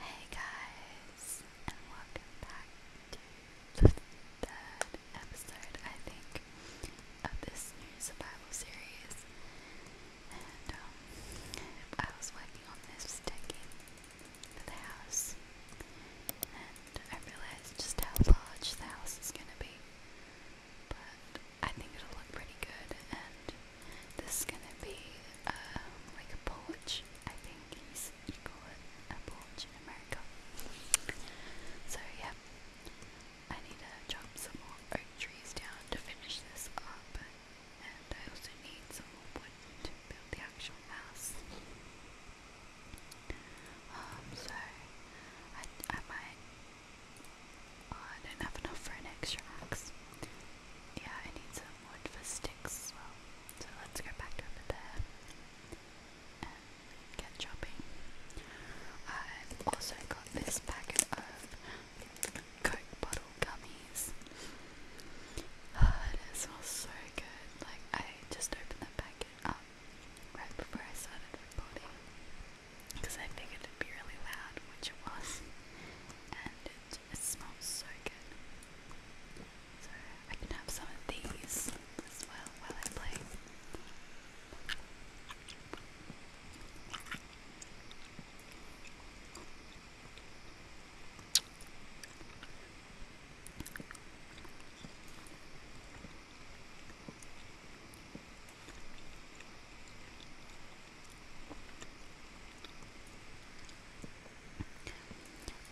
Hey guys, and welcome back to the episode, I think, of this new survival series. And um, I was working on this deck for the house, and I realized just how large the house is going to be. But I think it'll look pretty good, this is gonna be um, like a porch. I think he's equal a porch in America. So yeah, I need to chop some more oak trees down to finish this up, and I also need some more wood to build the actual house. Um, so I I might. I don't have enough for an extra axe. Yeah, I need some wood for sticks So let's go back over there and get chopping. I've also got this packet of Coke bottle gummies. Oh, ah, it smells so good. Like, I just opened the packet up right before I started recording because I figured it'd be really loud, which it was, and it. smells so good. So I can have some of these as well while I play.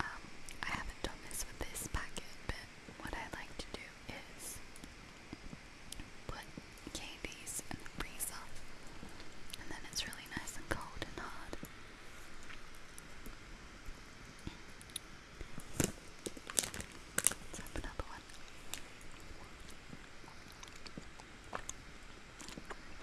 Um, I haven't done this with this packet, but what I like to do is put candies in the freezer, and then it's really nice and cold another one.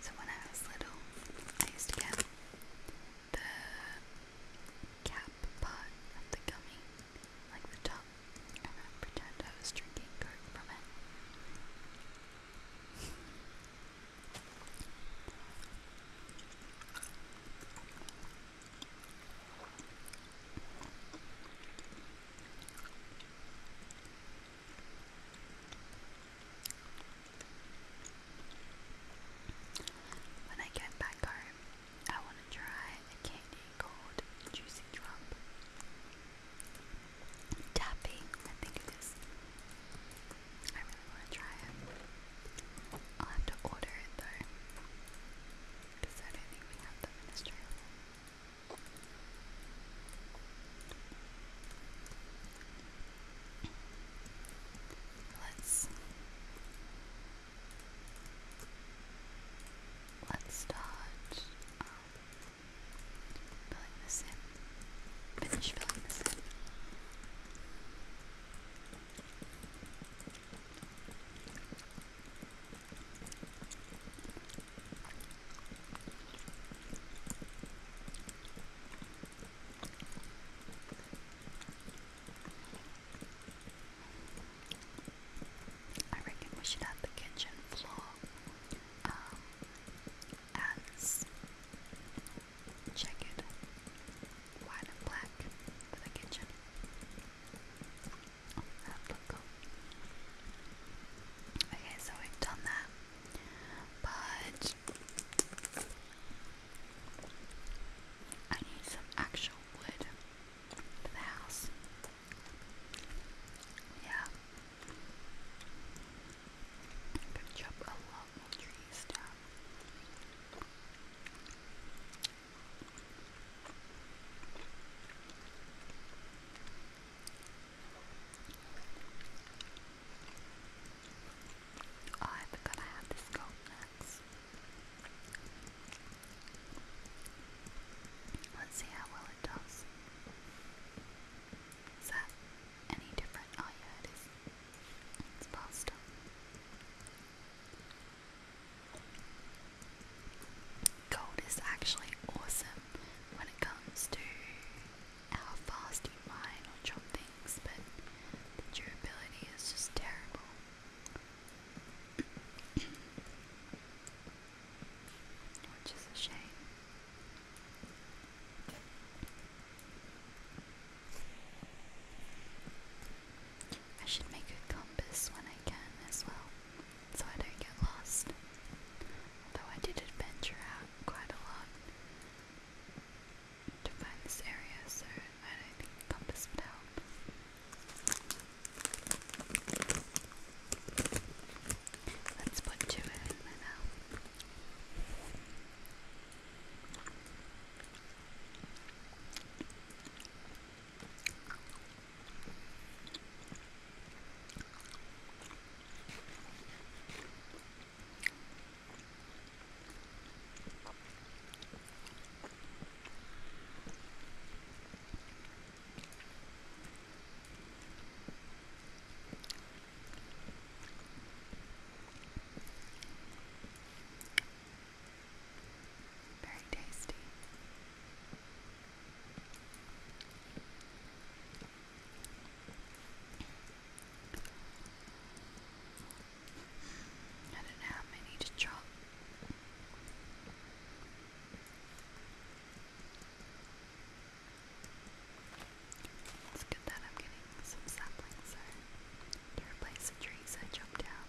So when little, I used to get the cap part of the gummy, like the top, and pretend I was drinking Coke from it. When I get back home, I want to try a candy called Juicy Drop. Tapping, I think it is. I really want to try it. I'll have to order it though, because I don't think we have them in Australia. Let's let's start um, filling this in. Finish filling this in. I reckon we should have the kitchen floor um, as checkered white and black for the kitchen. Oh, that look cool. Okay, so we've done that. But I need some actual wood for the house. Yeah. I'm gonna trees Oh, I forgot I have this gold next. Let's see how well it does. Is that any different? Oh yeah, it is. It's pasta. Gold is actually awesome when it comes to how fast you mine or chop things, but the durability is just terrible. Which is a shame. I should make a compass when I can as well, so I don't get lost. Although I did adventure out quite a lot to find this area, so I think compass would help. Let's put two in now. Very tasty. I don't know how many to chop. It's good that I'm getting some saplings there to replace the trees I chopped down.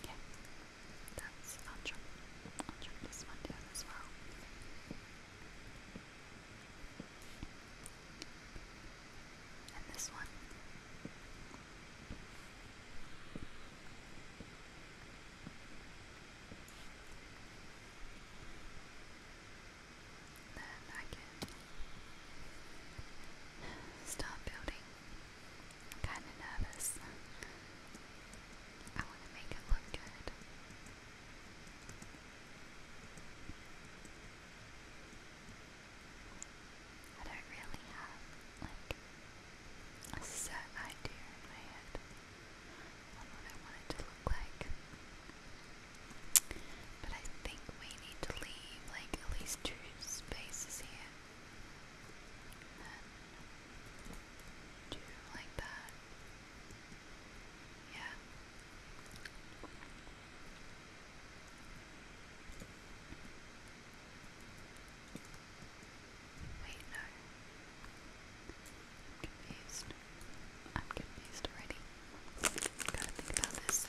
Okay, that's I'll drop, I'll drop this one down as well. And this one. I start building. am kind of nervous. I want to make it look good. I don't really have, like, a set idea in my head on what I want it to look like. But I think we need to leave like at least two spaces here. two like that. Yeah. Wait, no. am confused. I'm confused already. Gotta think about this.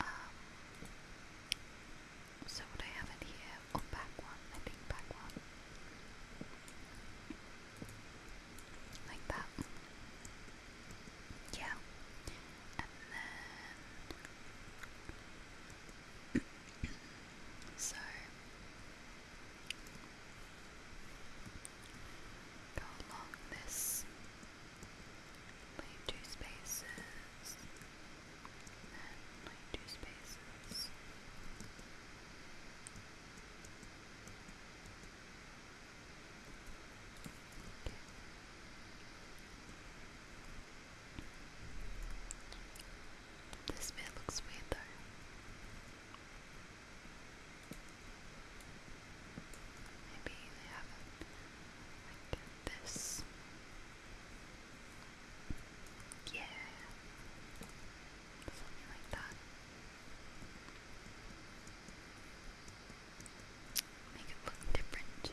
Um, so what I have in here, oh back one, I think back one. Like that. Yeah. And then so Go along this. Leave two spaces. leave two spaces. This bit looks weird though. Maybe they have it like this. Yeah. Something like that. Make it look different.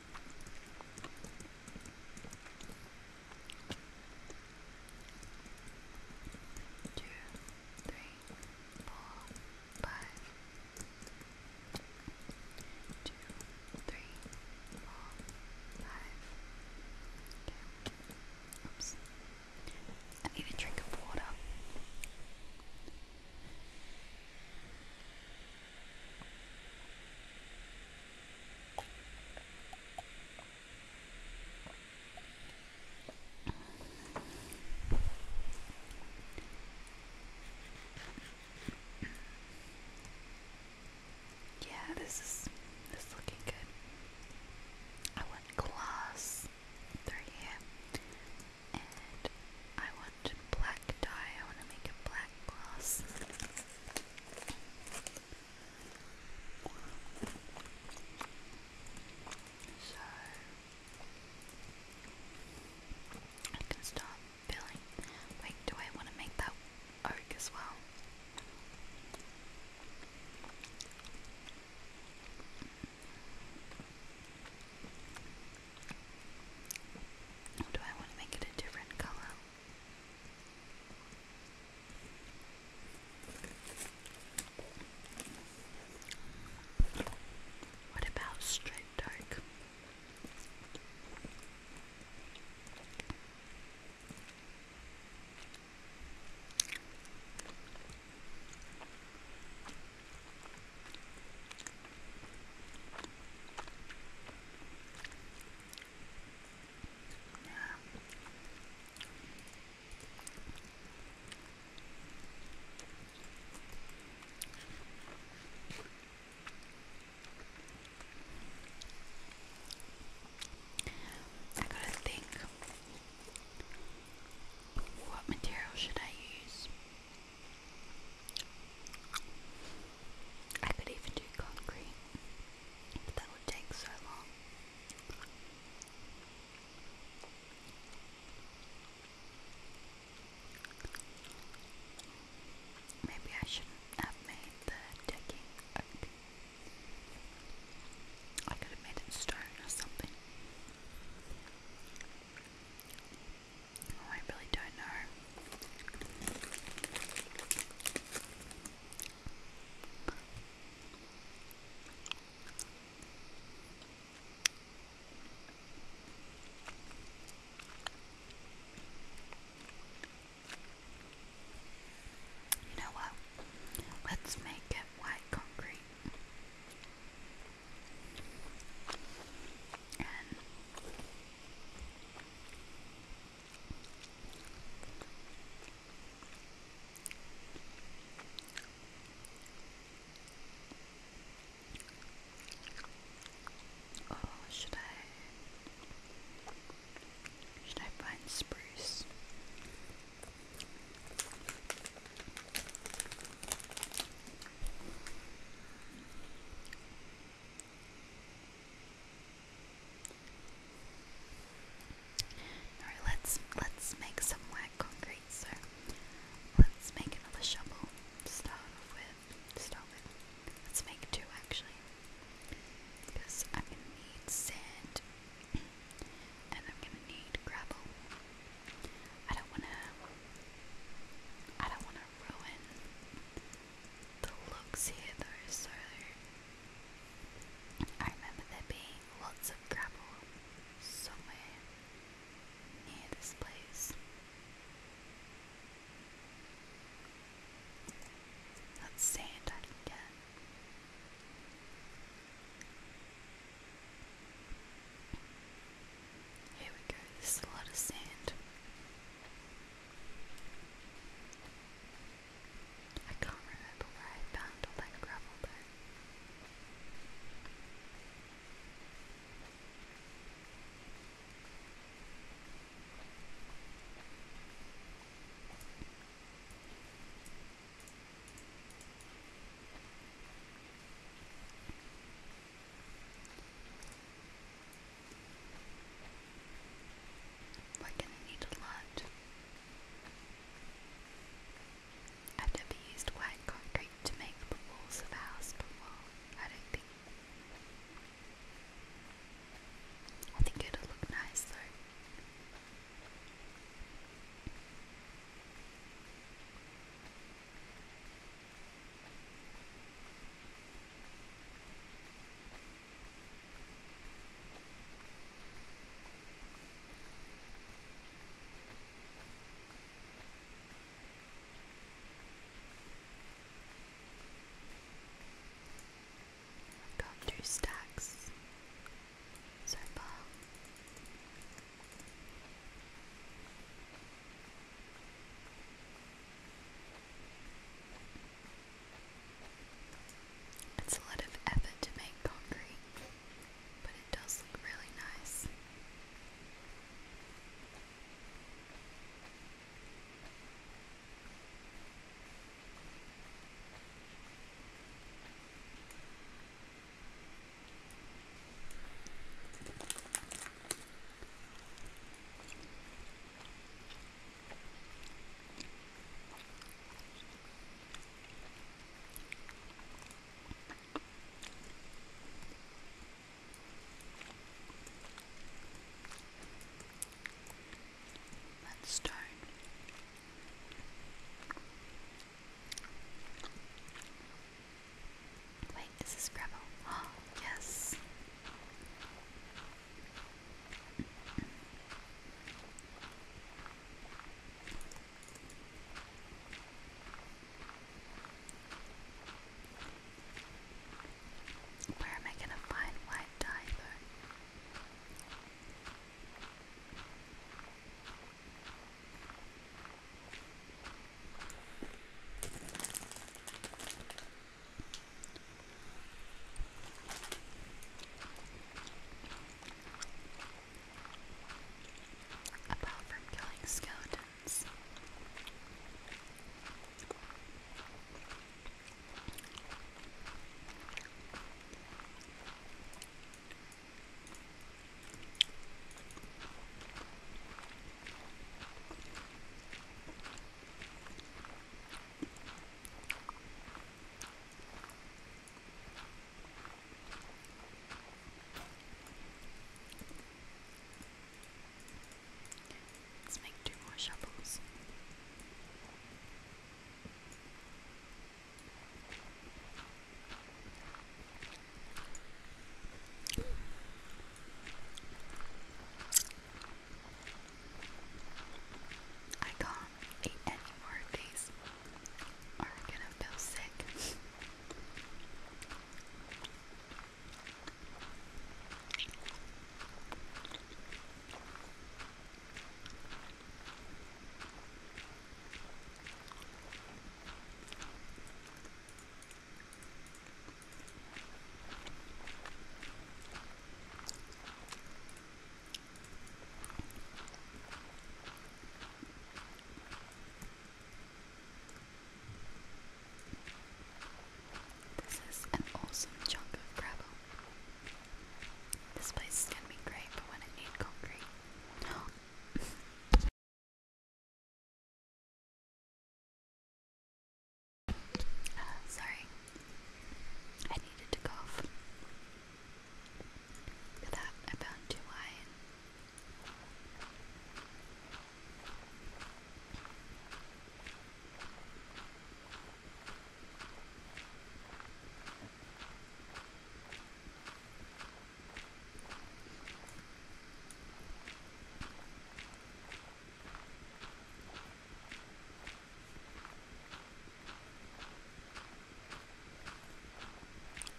two, three, four, five, two, three, four, five. Okay. Oops. I need a drink of water. Yeah, this is this is looking good. I want class three and I want black dye. I want to make a black glass. So I can start filling. Wait, do I want to make that oak as well? Or do I want to make it a different color? What about straight dark? I gotta think what material should I use? I could even do concrete, but that would take so long. Maybe I shouldn't have made the decking I could have made it stone or something. Oh, I really don't know. You know what? Let's make it white concrete. And Oh, should I should I find spruce? Alright, let's let's make some wet concrete, so let's make another shovel start with. start with. Let's make two actually. Because I'm gonna need sand and I'm gonna need gravel. I don't wanna I don't wanna ruin the looks here though, so I remember there being lots of gravel somewhere near this place. That's sand I can get. Here we go, this is a lot of sand. I can't remember where I found all that gravel we're gonna need a lot. After we used white concrete to make the walls of the house, I don't think. I think it'll look nice though. Gone through stacks. Zerpa. It's a lot of effort to make concrete, but it does look really nice. That stone Wait, is gravel? yes. Where am I going to find white dye Apart from killing skeletons, Let's make two more shovels. I can't eat any more of these, I'm gonna feel sick. This is an awesome chunk of gravel. This place is going to be great for when I need concrete. Uh, sorry, I needed to cough. For that, I found two wine.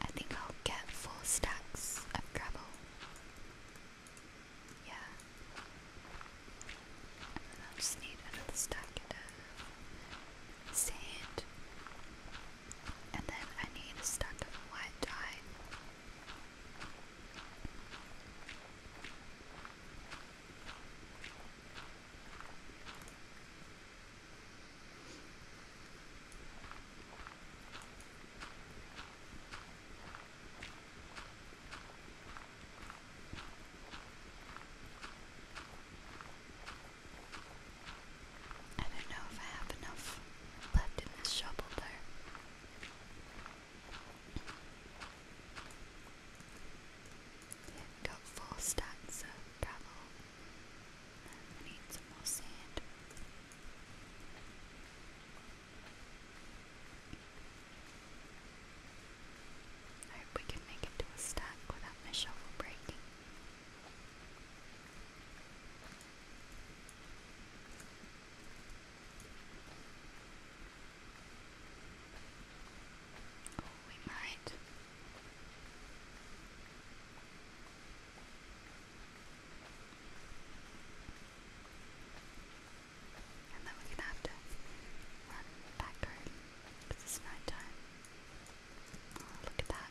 I think I'll get four stacks of gravel. Yeah. And I'll just need another stack of sand. And then I need a stack of white dye. I don't know if I have enough left in this shovel there. Yeah, got full stacks of gravel. I need some more sand. I hope we can make it to a stack without my shovel breaking. Oh, we And then we're gonna have to run back because it's night time. Oh, look at that.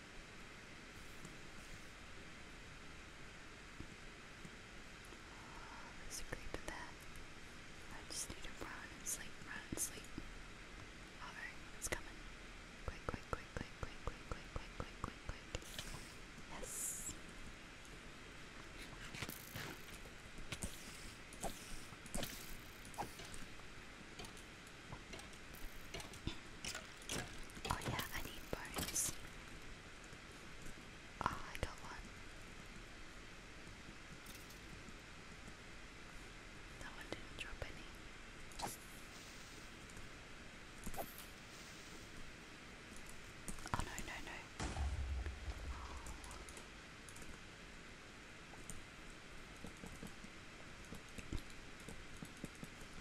Oh, there's a creep that. I just need to run sleep, run sleep. Alright, it's coming. quick, quick, quick, quick, quick, quick, quick, quick, quick, quick. Yes. Oh yeah, I need bones. Oh, I got one. That one didn't drop any. Oh no, no, no.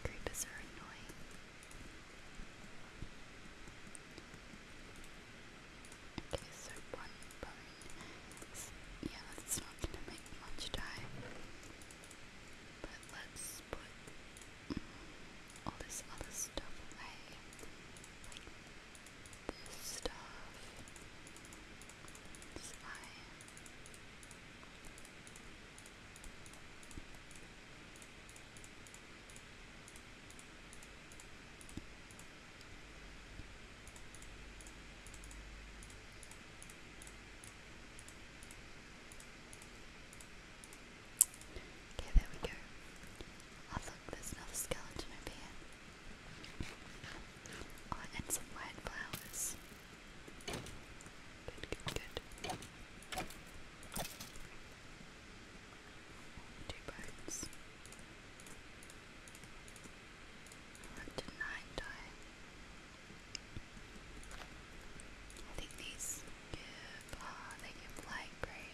Creepers are annoying. Okay, so one bone. yeah, that's not gonna make much die. But let's put mm, all this other stuff away. Like this stuff. This eye. Okay, there we go. Oh look, there's another skeleton over here. Oh, and some white flowers. Good, good, good. Two birds. What did nine die? I think these give, uh, they give light gray.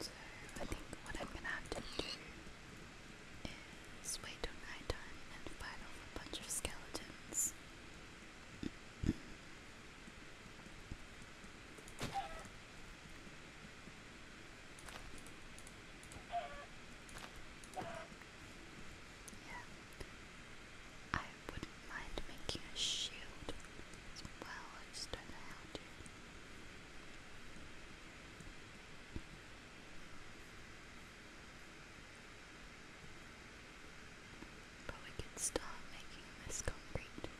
So I think what I'm gonna have to do is wait till night time and fight a bunch of skeletons. Yeah. I wouldn't mind making a shield as well, I just do could start making this concrete.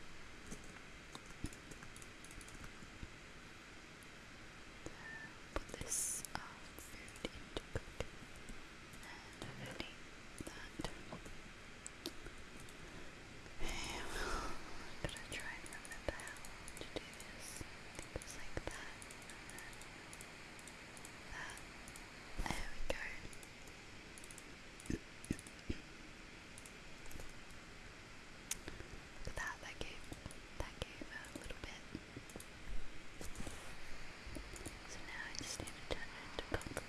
Put this uh, food into and delete I'm gonna try and remember to do this. it's like that, that. There we go. that, that gave, that gave a little bit. So now I just need to turn into concrete.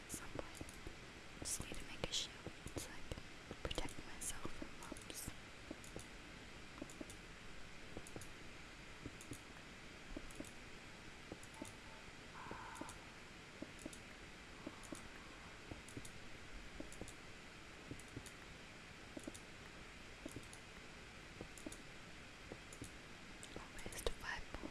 at Just need to make a shield so I can protect myself from mobs. Almost five more.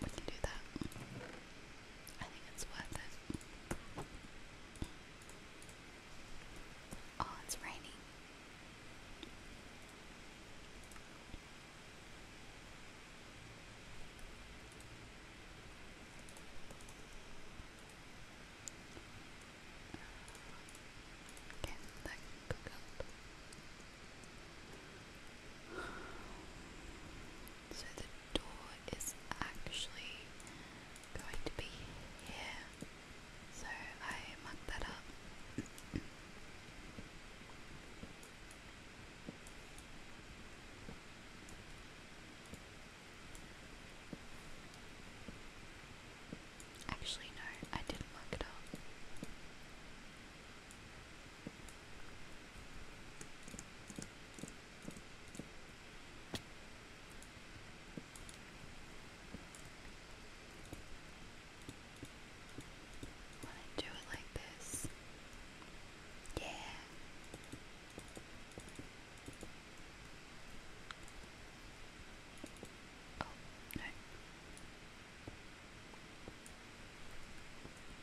we can do that. I think it's worth it. Oh, it's raining. Okay, that can cook up. So the door is actually going to be here. So I mucked that up. Actually, no, I didn't muck it up. Want to do it like this? Yeah. Oh,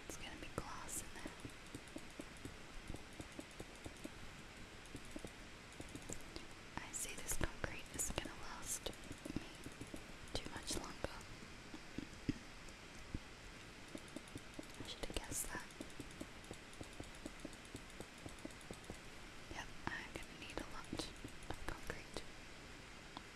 it's gonna be glass in there. I see this concrete is gonna last too much longer. I should have guessed that. Yep, I'm gonna need a lot of concrete.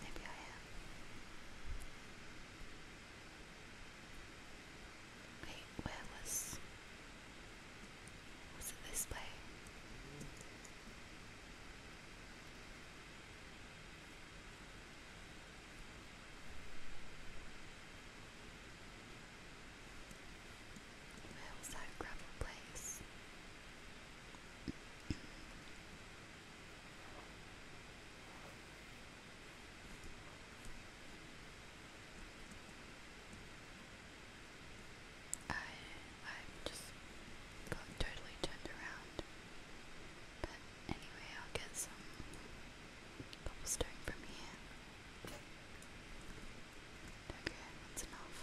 Maybe I am. Wait, where was. Was it this way? Where was that gravel place? I i just totally turned around. But anyway, I'll get some cobblestone from here. Okay, that's enough.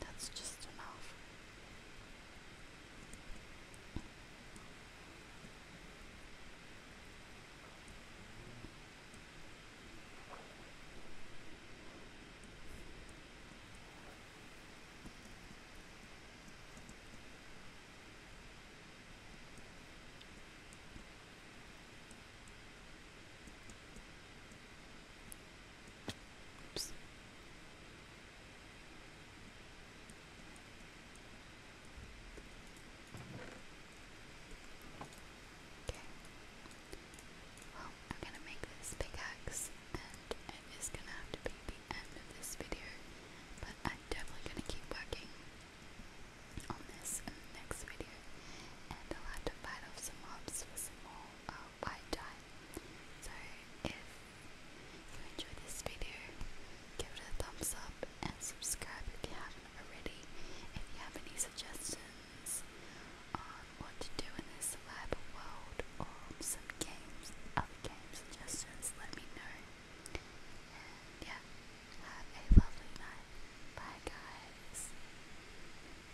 That's just enough. Oops. Okay. Well, I'm gonna make this pickaxe, and it is gonna have to be the end of this video. But I'm definitely gonna keep working on this next video, and I'll have to fight some mobs for some more. Um, wide time. So if you enjoyed this video, give it a thumbs up and subscribe if you haven't already. If you have any suggestions on what to do in this lab world or some games, other games suggestions, let me know. And yeah, have a lovely night. Bye guys.